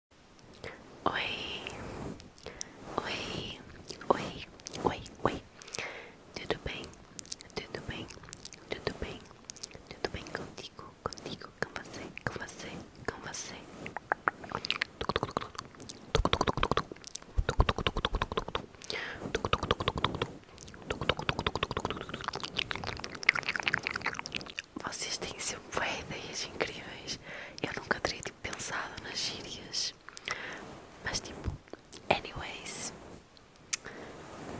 Oi, oi, oi, oi, oi, tudo bem, tudo bem, tudo bem, tudo bem contigo, contigo, com você, com você, com você. Vocês têm sempre ideias incríveis. Eu nunca teria tipo, pensado nas gírias. Mas tipo, anyways,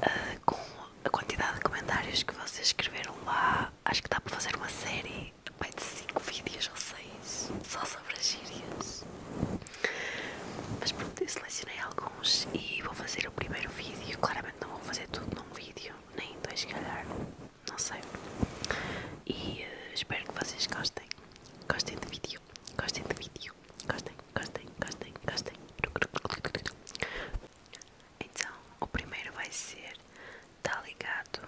ah, com a quantidade de comentários que vocês escreveram lá, acho que dá para fazer uma série de 5 vídeos ou 6 só sobre as gírias. Mas pronto, eu selecionei alguns e vou fazer o primeiro vídeo. Claramente não vou fazer tudo num vídeo, nem dois, se calhar não sei. E eh, espero que vocês gostem. Gostem de vídeo. Gostem de vídeo. Gostem, gostem, gostem, gostem. Então, o primeiro vai ser Tá ligado?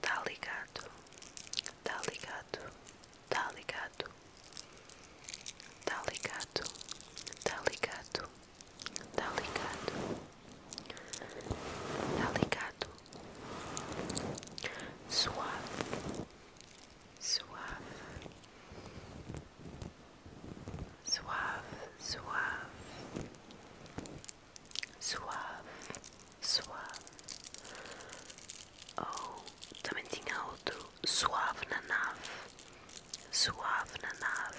Tá ligado? Tá ligado? Tá ligado? Tá ligado? Tá ligado? Tá ligado? Tá ligado? Suave, suave, suave, suave, suave, suave. Oh, também tinha outro suave na nave, suave na nave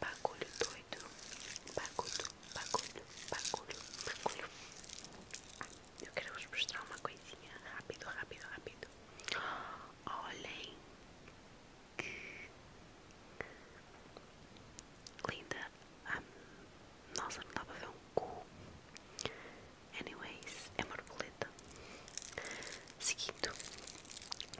bagulho doido, bagulho, bagulho, bagulho, bagulho. eu quero vos mostrar uma coisinha rápido, rápido, rápido. Olhem que linda. nossa, não dá para ver um cu. Anyways, é borboleta. Seguindo,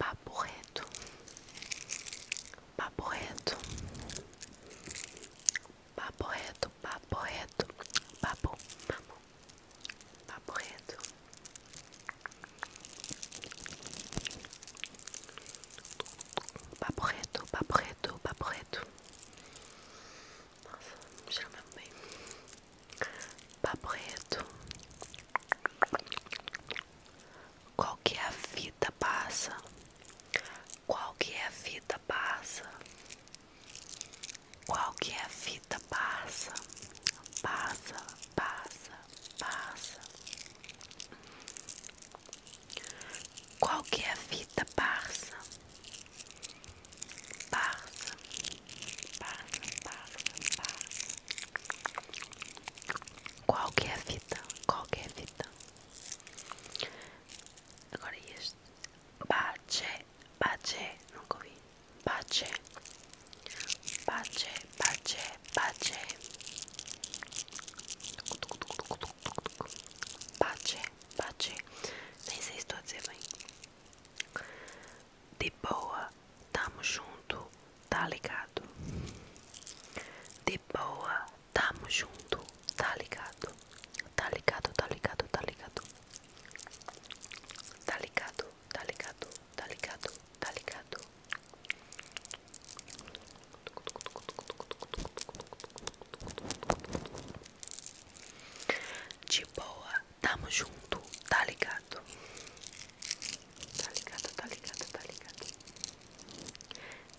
Papo reto, papo reto, papo reto, papo reto, papo, papo, papo reto. Papo reto, papo reto, papo reto. Nossa, cheira mesmo bem. Papo Qual que é a vida passa? Qual que é a vida passa? Qual que é a vida passa? Passa, passa, passa. Qual que é a vida passa? Passa passa, passa, passa. Qual que é a fita? Qual que é a fita? Agora este. Bache, bache, nunca ouvi. Bache, bache, bache, bache. Bache, bache. Nem sei se estou a dizer bem de boa, tamo junto, tá ligado? De boa, tamo junto, tá ligado? Tá ligado, tá ligado, tá ligado? Tá ligado, tá ligado, tá ligado, tá ligado? De boa, Tamo junto, tá ligado? Tá ligado, tá ligado, tá ligado.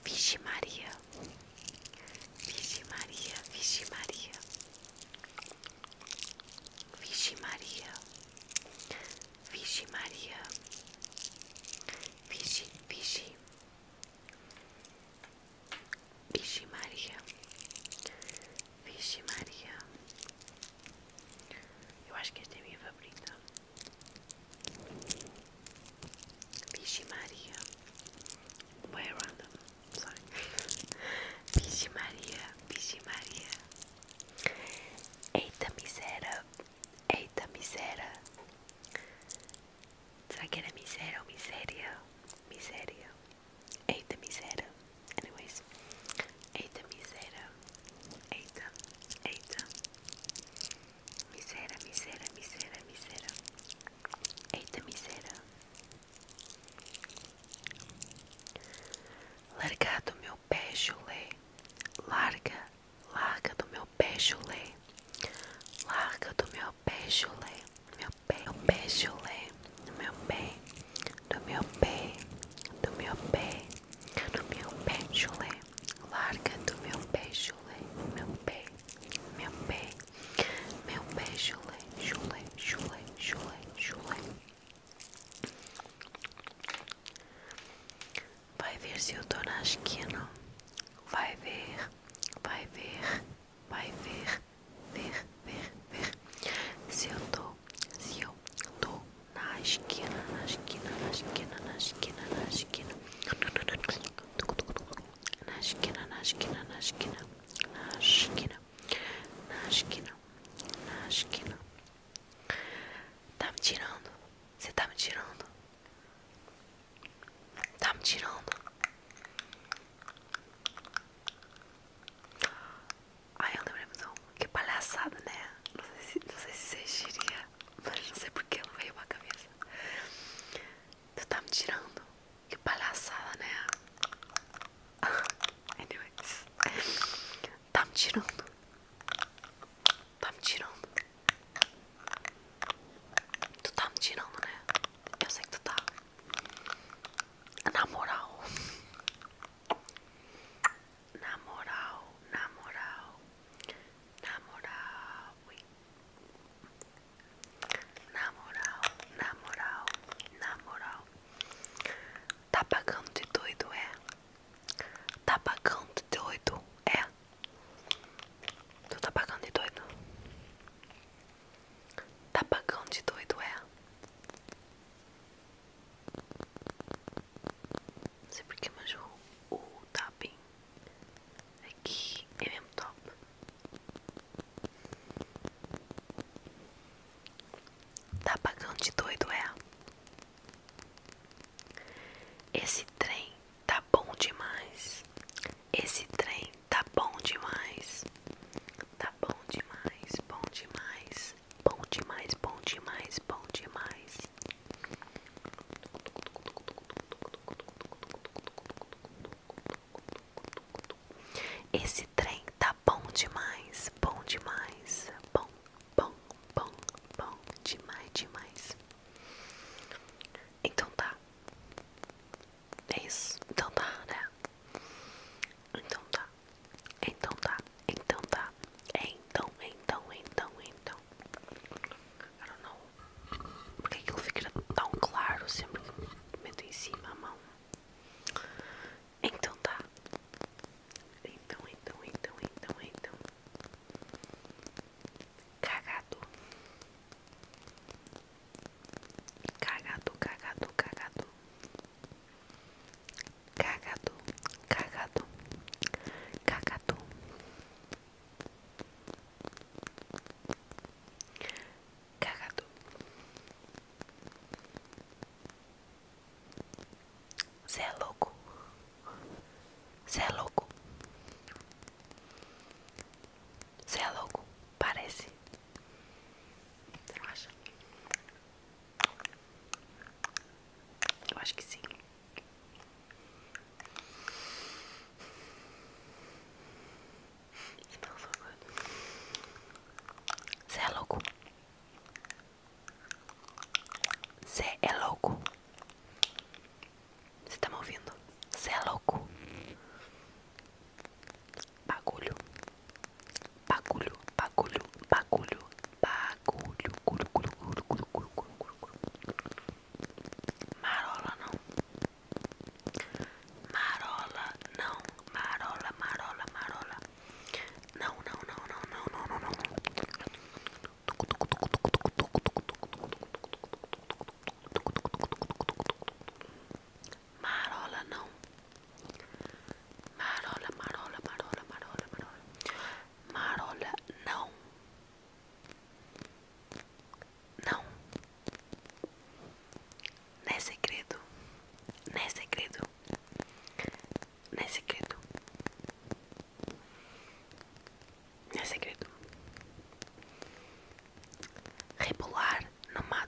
Vixe Maria. Vixe Maria, Vixe Maria. Vixe Maria. Vixe Maria. Vixe, vixe. Vixe Maria. Vixe Maria. Eu acho que esta é a minha favorita. Vixe Maria. Way random. Sorry. Vixe Maria. Vixe Maria. Eita miséria. Eita miséria. Será que era miséria ou miséria? Miséria. Eita miséria. Anyways. Eita miséria. Eita. Eita. Miséria, miséria, miséria, miséria. Eita miséria. Larga do meu pé, chulé. Larga, larga do meu pé, chulé. Larga do meu pé, chulé. Meu pé, meu pé, do meu pé, do meu pé, do meu pé, do meu pé, chulé, larga do meu pé, chulé, meu pé, meu pé, meu pé, chulé, chulé, chulé, chulé, chulé. Vai ver se eu tô na esquina. Vai ver, vai ver, vai ver, ver, ver, ver. Se eu tô se eu tô na esquina, na esquina, na esquina, na esquina, na esquina, na esquina, na esquina, na esquina, na esquina, na esquina, na esquina, tá me tirando, você tá me tirando, tá me tirando. Ai, eu não lembrei do que palhaçada, né? Não sei se, não sei se você diria, mas não sei porque não veio uma cabeça. Tu tá me tirando? Que palhaçada, né? Anyways, tá me tirando. Tá me tirando. Tu tá me tirando, né? Eu sei que tu tá. Na moral. Na moral, na moral, na moral, ui. na moral, na moral, na moral. Tá pagando de doido, é? Tá pagando de doido, é? Tô tá pagando de doido? Tá pagando de doido, é? Não sei porque, mas o, o tapping aqui é, é mesmo top. Tá pagando de doido, é? Esse trem tá bom demais. Esse trem tá bom demais. Tá bom demais, bom demais, bom demais, bom demais, bom demais. Esse trem tá bom demais, bom demais, bom, bom, bom, bom demais, demais. Então tá. É isso. Então tá, né? Então tá. Então tá, então tá. Então, então, então, então. I don't know. que aquilo fica tão claro sempre que meto em cima a mão. Então tá. Então, então, então, então, então. Cagado. Cagado, cagado, cagado. Cagado, cagado, cagado. Cagado. Você é louco. Você é louco. Você é louco. Parece. Você não acha? Eu acho que sim. Você tá é louco? Você é louco? Você tá me ouvindo? Você é louco? bagulho, bagulho, bagulho, bagulho, bagulho, guru, guru, guru, guru, guru, guru, guru. marola não, marola não, marola, marola, marola, não, não, não, não, não, não, não, não. Marola não. Marola, marola, marola, marola, marola. Marola não. Não. Não é segredo. Não é segredo. Não é segredo. Não é repular no mato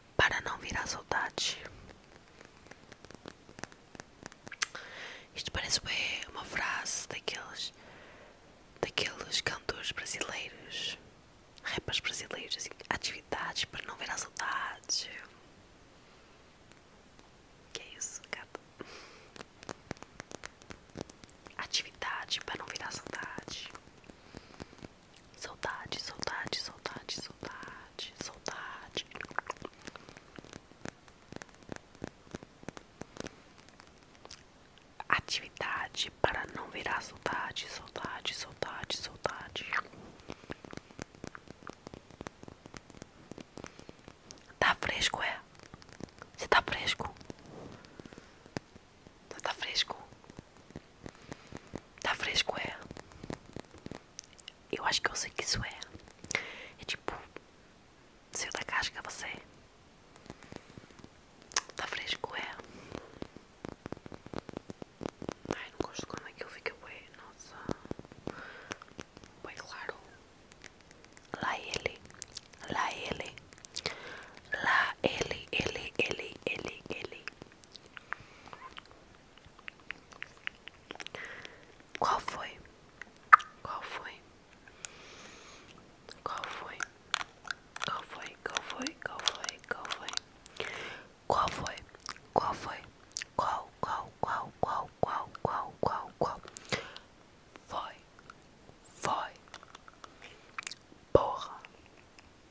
para não virar saudade. Isto parece bem uma frase daqueles, daqueles cantores brasileiros, rappers brasileiros, assim, atividades para não virar saudade. Que é isso, gata? Atividade para não virar saudade. Saudade, saudade, saudade, saudade saudade, saudade. Atividade para não virar saudade, saudade, saudade, saudade. Tá fresco, é? Você tá fresco? Você tá fresco? Tá fresco, é? Eu acho que eu sei que isso é. É tipo. Saiu da casca você. Tá fresco, é. Ai, não gosto como aquilo fica bem. Nossa. Bem claro. Lá ele. Lá ele. Lá ele, ele, ele, ele, ele. Qual foi? Qual foi? Qual foi? Qual foi? Qual foi? Qual foi? Qual foi? Qual foi? Qual foi? Qual, qual, qual, qual, qual, qual, qual, qual? Foi. Foi. Porra.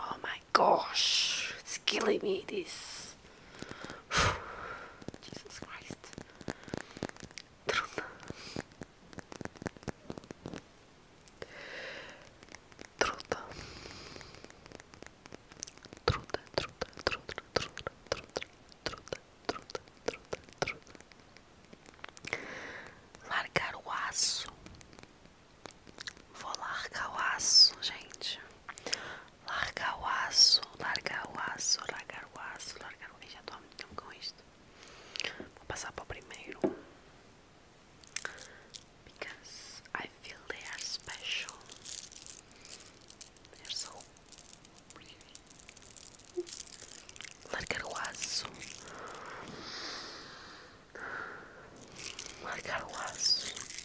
Oh my gosh, it's killing me this. Jesus Christ. Trudno. Trudno. Trudno, trudno, trudno, trudno, trudno, trudno, trudno, trudno, trudno. Largar o aço Vou largar o aço, gente. Largar o aço, largar o aço, largar o aço, largar o aço. Já tô muito com isso. Vou passar pro primeiro. Because I feel they are special. They're so pretty. Largar o aço. Largar o aço.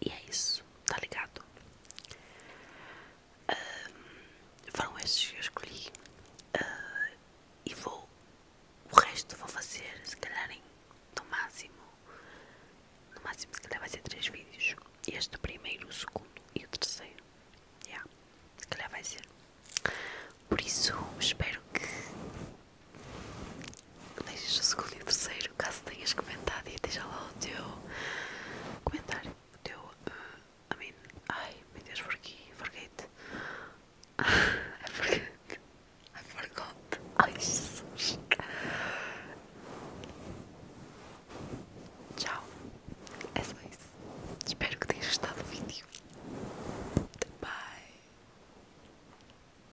E é isso, tá ligado? foram estes que eu escolhi. Ah, e vou. O resto vou fazer, se calhar, em, no máximo. No máximo, se calhar, vai ser três vídeos. Este, o primeiro, o segundo e o terceiro. Yeah, se calhar vai ser. Por isso, espero que Deixas escolher o terceiro caso tenhas comentado e deixa lá o teu comentário. O teu. Uh, I mean. Ai, meu Deus, forqui, forget. I forget. I forgot. Ai, Jesus. Tchau. É só isso. Espero que tenhas gostado do vídeo. Bye.